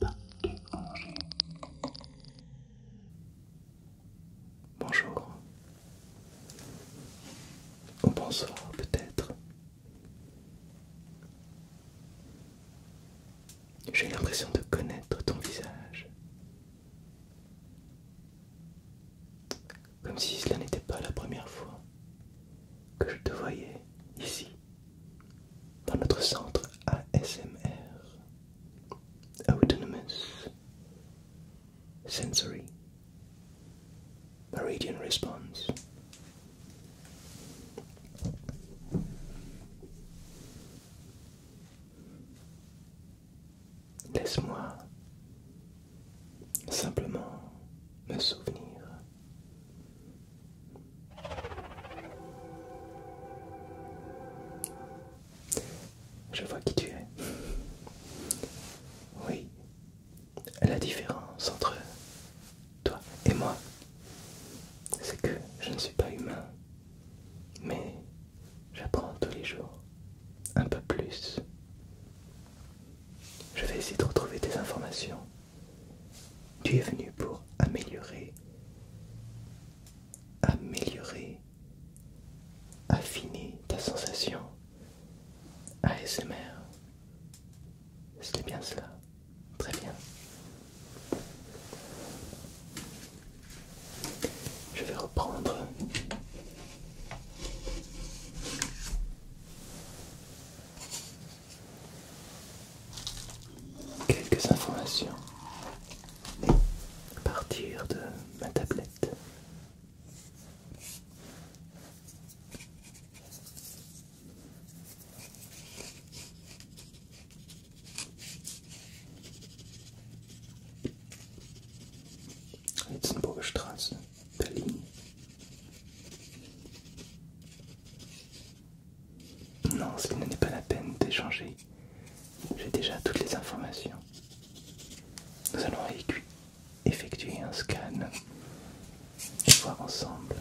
pas Bonjour. Ou bonsoir peut-être. J'ai l'impression de connaître ton visage. Comme si cela n'était pas la première fois que je te voyais ici dans notre centre ASMR, Autonomous Sensory Meridian Response. Laisse-moi simplement me souvenir je vois qui tu es. Oui, la différence entre toi et moi, c'est que je ne suis pas humain, mais j'apprends tous les jours un peu plus. Je vais essayer de retrouver des informations tu es venu pour améliorer, améliorer, affiner ta sensation ASMR. C'était bien cela. Très bien. Je vais reprendre quelques informations à partir de ma tablette. Witzenburger Straße, Berlin. Non, ce n'est pas la peine d'échanger. J'ai déjà toutes les informations. Nous allons effectuer un scan et voir ensemble,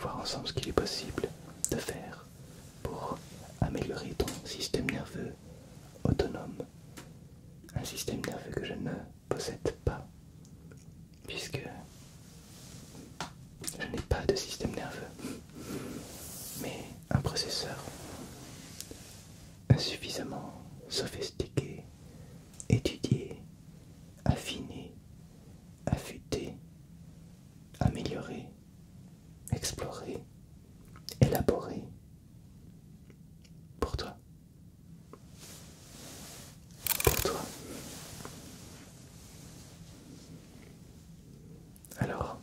voir ensemble ce qu'il est possible de faire pour améliorer ton système nerveux autonome. Un système nerveux que je ne possède pas, puisque je n'ai pas de système nerveux, mais un processeur insuffisamment sophistiqué, étudié, affiné, affûté, amélioré, exploré, élaboré pour toi pour toi. Alors,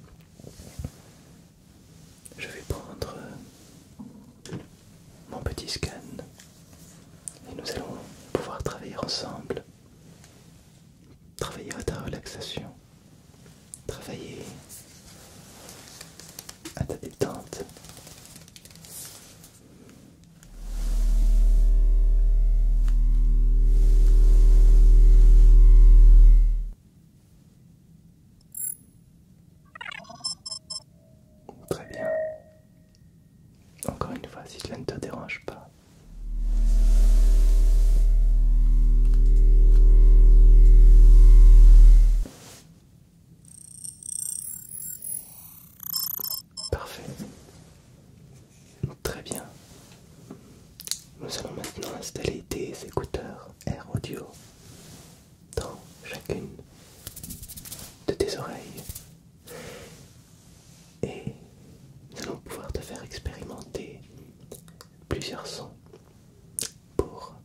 je vais prendre mon petit scan et nous allons pouvoir travailler ensemble, travailler à ta relaxation, travailler à ta détente Très bien. Encore une fois, si cela ne te dérange pas. Parfait. Très bien. Nous allons maintenant installer des écouteurs Air Audio dans chacune de tes oreilles. Et nous allons pouvoir te faire expérimenter plusieurs sons pour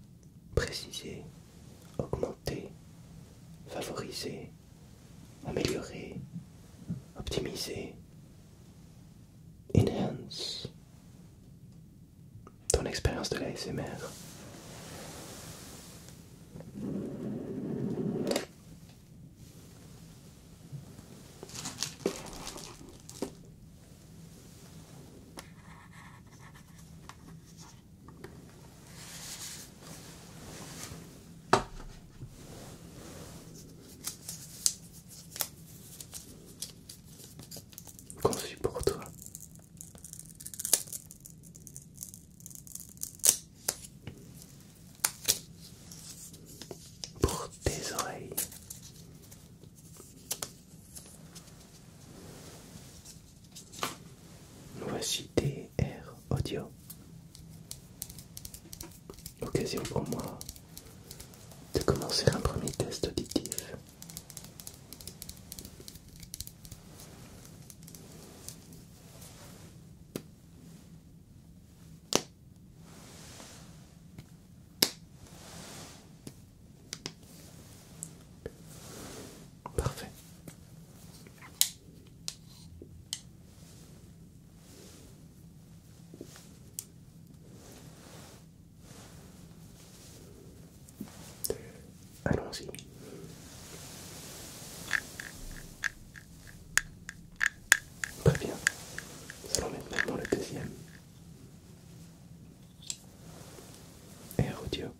préciser augmenter, favoriser, améliorer, optimiser, enhance ton expérience de la SMR. Conçu pour toi. Pour tes oreilles. Voici DR Audio. Occasion pour moi de commencer un premier test auditif. Parfait. Allons-y. Très bien. Nous allons maintenant le deuxième. Air audio.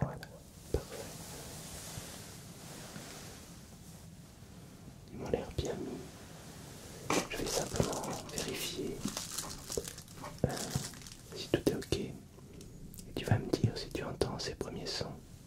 Voilà, parfait. Ils m'ont l'air bien Je vais simplement vérifier euh, si tout est ok. Et tu vas me dire si tu entends ces premiers sons.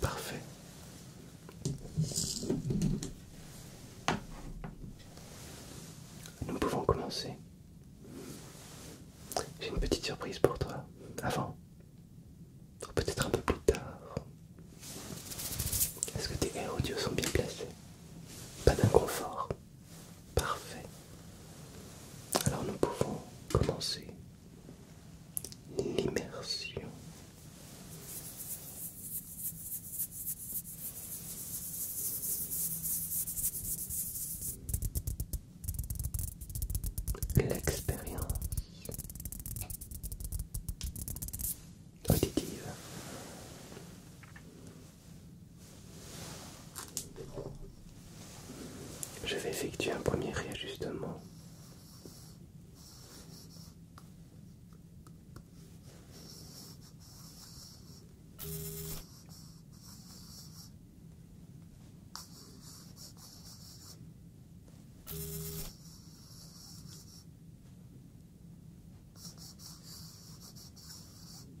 Parfait. Nous pouvons commencer. J'ai une petite surprise pour toi. Avant. Peut-être un peu plus tard. Est-ce que tes airs audio sont bien placés Pas d'inconfort. Parfait. Alors nous pouvons commencer l'immersion. L'expérience auditive je vais effectuer un premier réajustement.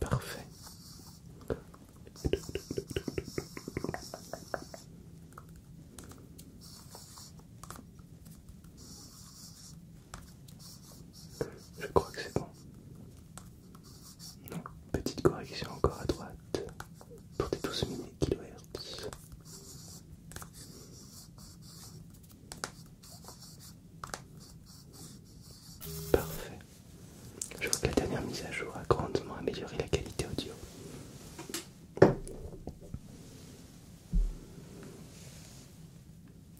Parfait. Je crois que c'est bon. Petite correction encore à droite pour des 12 000 kHz. Parfait. Je vois que la dernière mise à jour a grandement amélioré la qualité audio.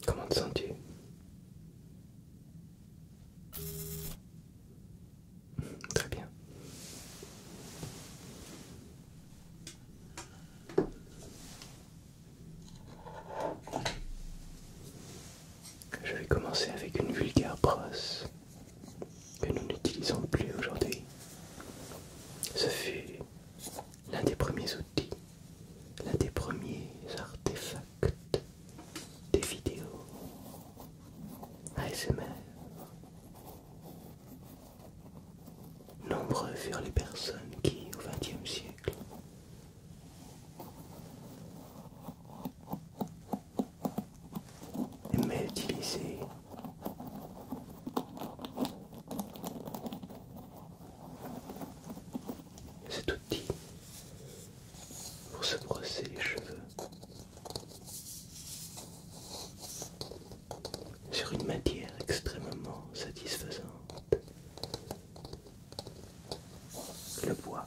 Comment te sens-tu Très bien. Je vais commencer avec une vulgaire brosse que nous n'utilisons plus aujourd'hui. Ce fut l'un des premiers outils, l'un des premiers artefacts des vidéos ASMR. Nombreux furent les personnes qui, au XXe siècle, mais utiliser cet outil pour se brosser les cheveux sur une matière extrêmement satisfaisante. Le bois.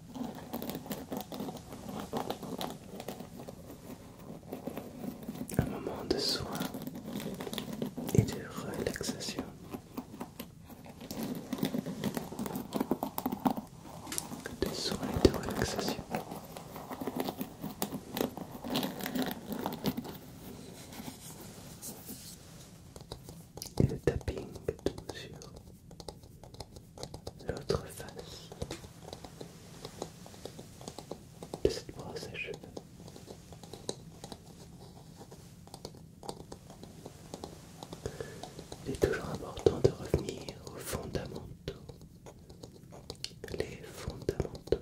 Un moment de soin et de relaxation. De soin et de relaxation. le tapping, bien l'autre face de cette brosse à cheveux. Il est toujours important de revenir aux fondamentaux. Les fondamentaux.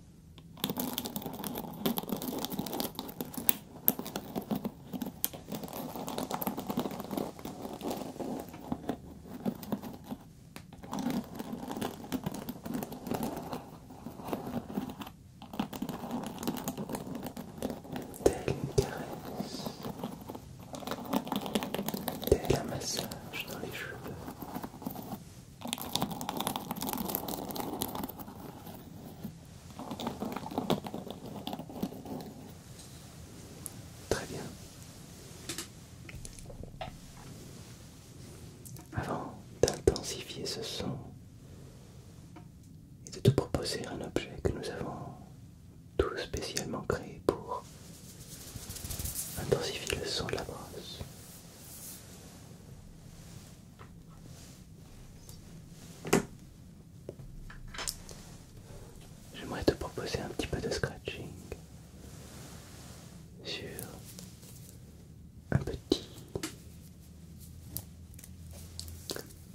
Telle une caresse, tel un massage dans les cheveux. Très bien. Avant d'intensifier ce son et de te proposer un objet que nous avons tout spécialement créé pour intensifier le son de la brosse, J'aimerais te proposer un petit peu de scratching sur un petit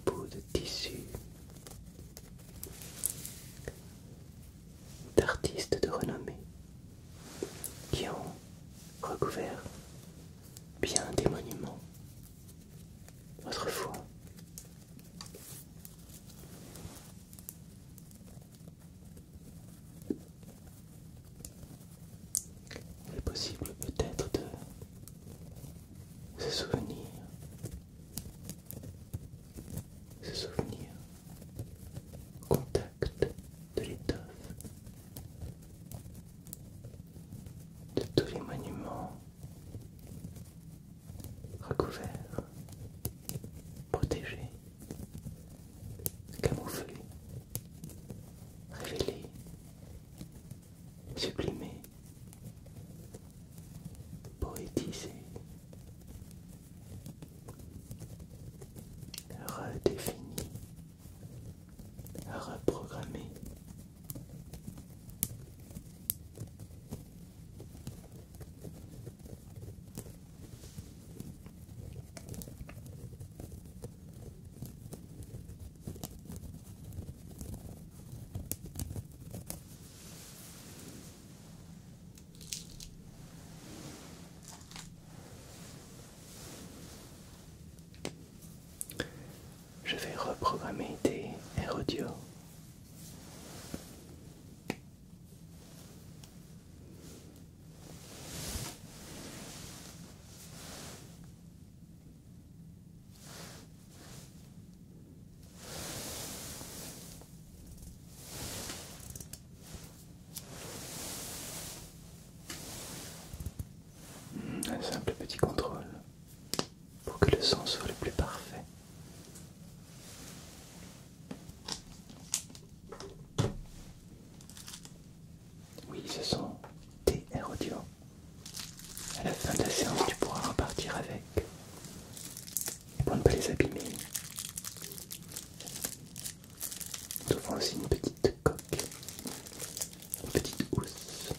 bout de tissu d'artistes de renommée qui ont recouvert bien des monuments autrefois. Il est possible peut-être de se souvenir, se souvenir contact de l'étoffe, de tous les monuments recouverts, protégés, camouflés, révélés, sublimés, poétisés redéfini, reprogrammé. Je vais reprogrammer tes airs audio. Un simple petit contrôle pour que le son soit le plus parfait. Oui, ce sont des audio. À la fin de la séance, tu pourras repartir avec pour ne pas les abîmer. Nous aussi une petite coque, une petite housse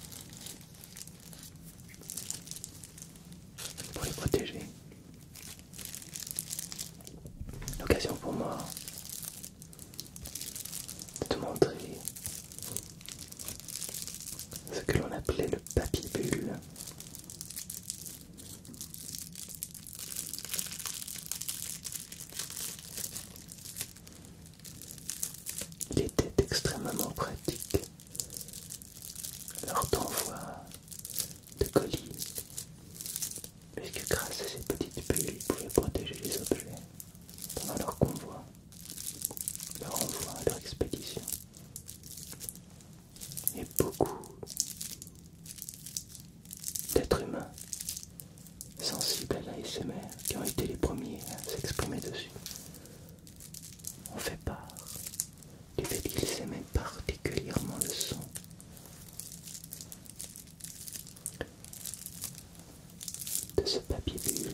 pour les protéger. L'occasion pour moi de te montrer ce que l'on appelait le papier bulle. Il était extrêmement pratique leur convoi de colis, puisque grâce à ces petites bulles, ils pouvaient protéger les objets pendant leur convoi, leur envoi, leur expédition et beaucoup d'êtres humains sensibles à l'ASMR qui ont été les premiers à s'exprimer dessus ont fait part du fait qu'ils aimaient particulièrement le son. De ce papier bulle.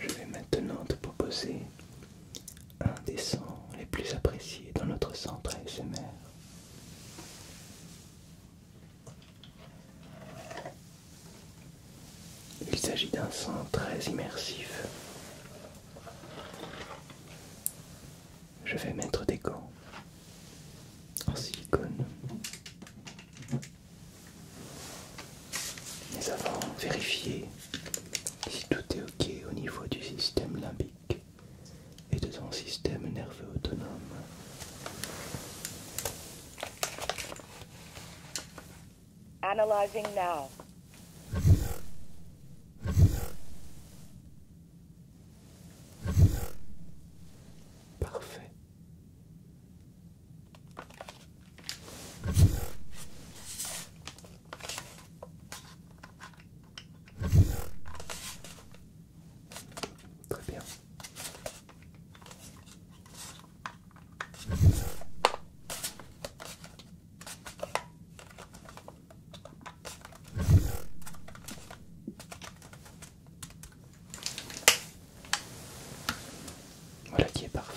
Je vais maintenant te proposer un des sons les plus appréciés dans notre centre ASMR. Il s'agit d'un son très immersif je vais mettre des gants en silicone. Mais avant, vérifier si tout est ok au niveau du système limbique et de son système nerveux autonome. Analyzing now. Parfait. Très bien. Voilà qui est parfait.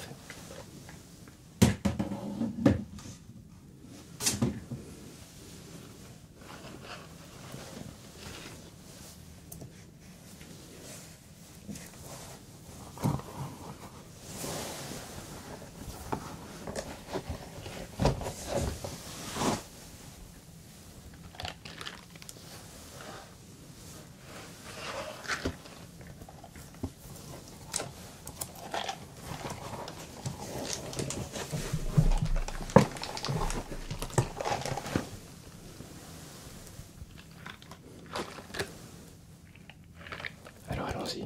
Alors allons-y.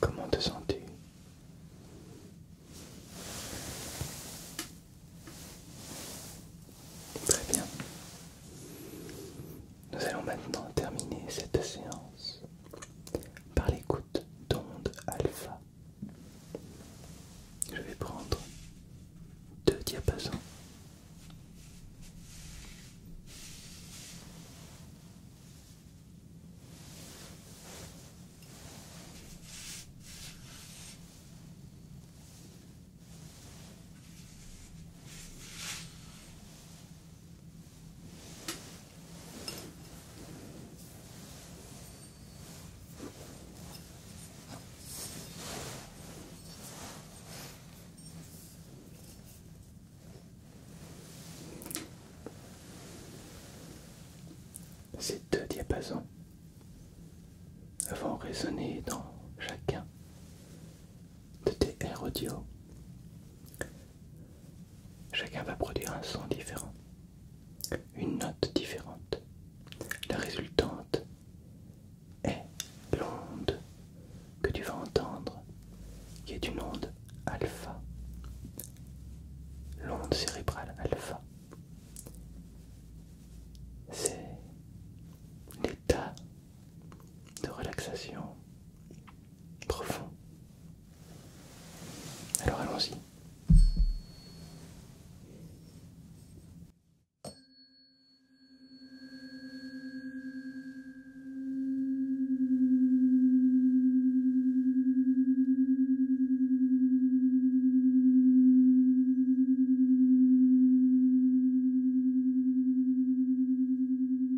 Comment te sens-tu Très bien. Nous allons maintenant terminer cette séance par l'écoute d'ondes alpha. Je vais prendre deux diapasons. Ces deux diapasons vont résonner dans chacun de tes Audio. Chacun va produire un son différent, une note différente. La résultante est l'onde que tu vas entendre, qui est une onde alpha, l'onde cérébrale alpha. C'est l'état de relaxation profond. Alors allons-y.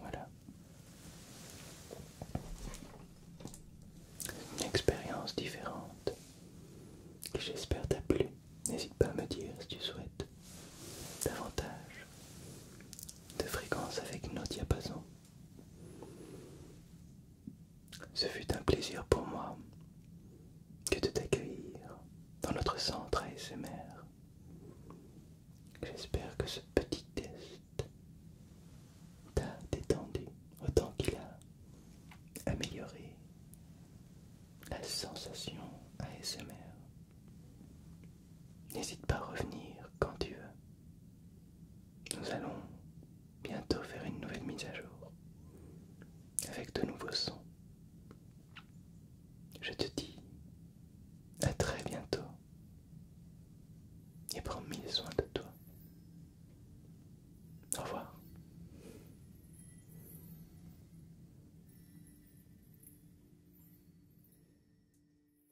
Voilà. Une expérience différente que j'espère t'a plu. N'hésite pas à me dire si tu souhaites davantage de fréquence avec nos diapasons. Ce fut un plaisir pour moi que de t'accueillir dans notre centre ASMR. J'espère que ce petit test t'a détendu autant qu'il a amélioré la sensation ASMR. N'hésite pas à revenir quand tu veux. Nous allons bientôt faire une nouvelle mise à jour avec de nouveaux sons. Je te dis à très bientôt et prends mille soins de toi. Au revoir.